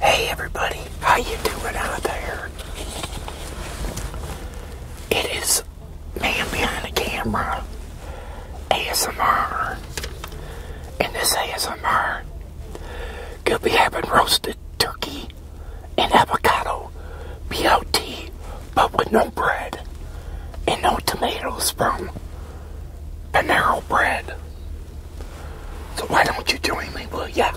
Hey everybody, how you doing out there? It is man behind the camera, ASMR, and this ASMR could be having roasted turkey and avocado BLT, but with no bread and no tomatoes from Panero Bread. So why don't you join me, Well, yeah.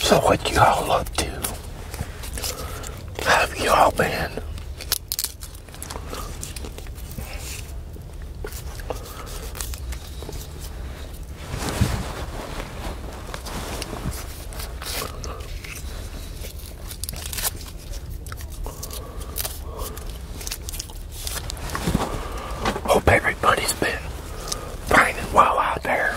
So what y'all up to? How have y'all been? Hope everybody's been fine and well out there.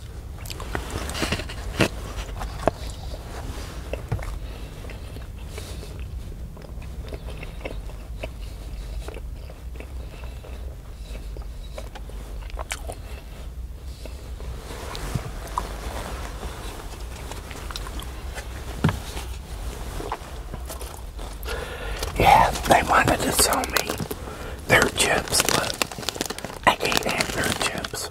Yeah, they wanted to sell me their chips, but I can't have their chips.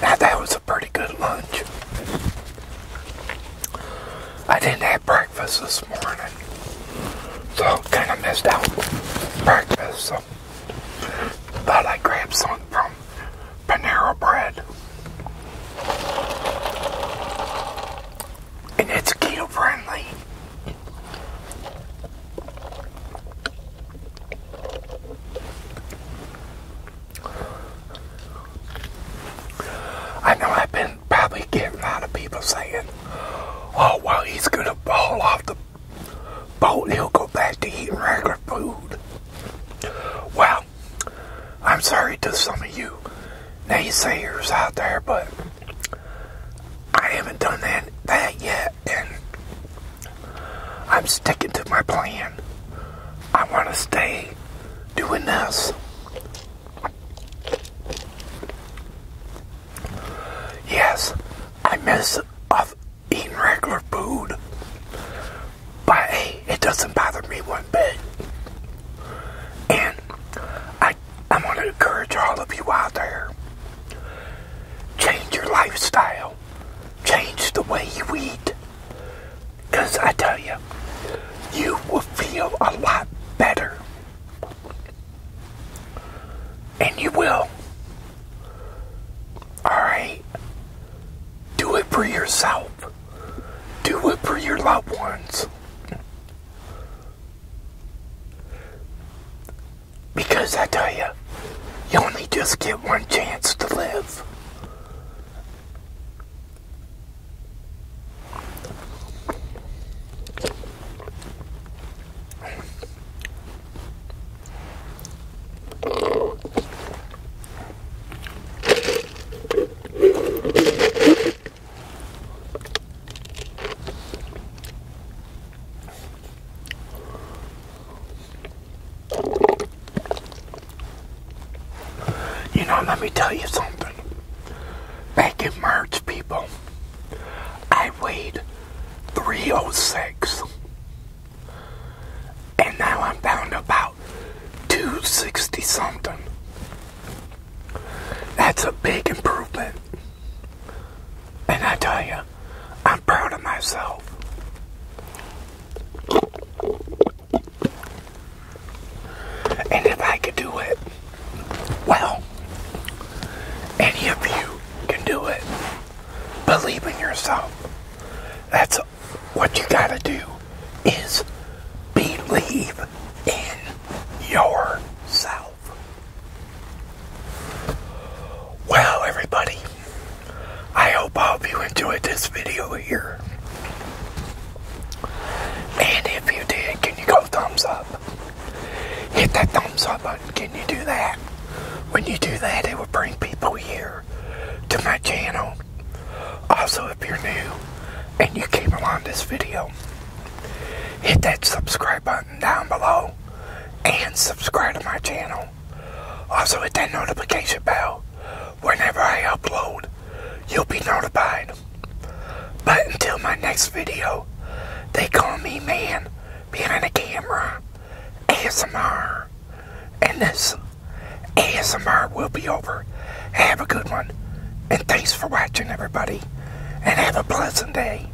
that was a pretty good lunch. I didn't have breakfast this morning, so kind of missed out breakfast. So thought I grabbed some from Panera Bread, and it's keto friendly. I know I've been probably getting a lot of people saying, oh, well, he's going to fall off the boat and he'll go back to eating regular food. Well, I'm sorry to some of you naysayers out there, but I haven't done that, that yet and I'm sticking to my plan. I want to stay doing this. Yes, I miss off eating regular food, but it doesn't bother me one bit. And I, I want to encourage all of you out there change your lifestyle change the way you eat. Because I tell you, you will feel a lot better. And you will. Alright? Do it for yourself. Do it for your loved ones. Because I tell you, you only just get one chance to live. You know, let me tell you something. Back in March, people, I weighed 306. And now I'm down to about 260 something. That's a big improvement. And I tell you, I'm proud of myself. And if I could do it, well, any of you can do it. Believe in yourself. That's what you gotta do is believe in yourself. Well, everybody. I hope all of you enjoyed this video here. And if you did, can you go thumbs up? Hit that thumbs up button. Can you do that? When you do that, it will bring people here to my channel. Also, if you're new and you came along this video, hit that subscribe button down below and subscribe to my channel. Also hit that notification bell. Whenever I upload, you'll be notified. But until my next video, they call me man behind the camera, ASMR. And this ASMR will be over. Have a good one. And thanks for watching, everybody. And have a pleasant day.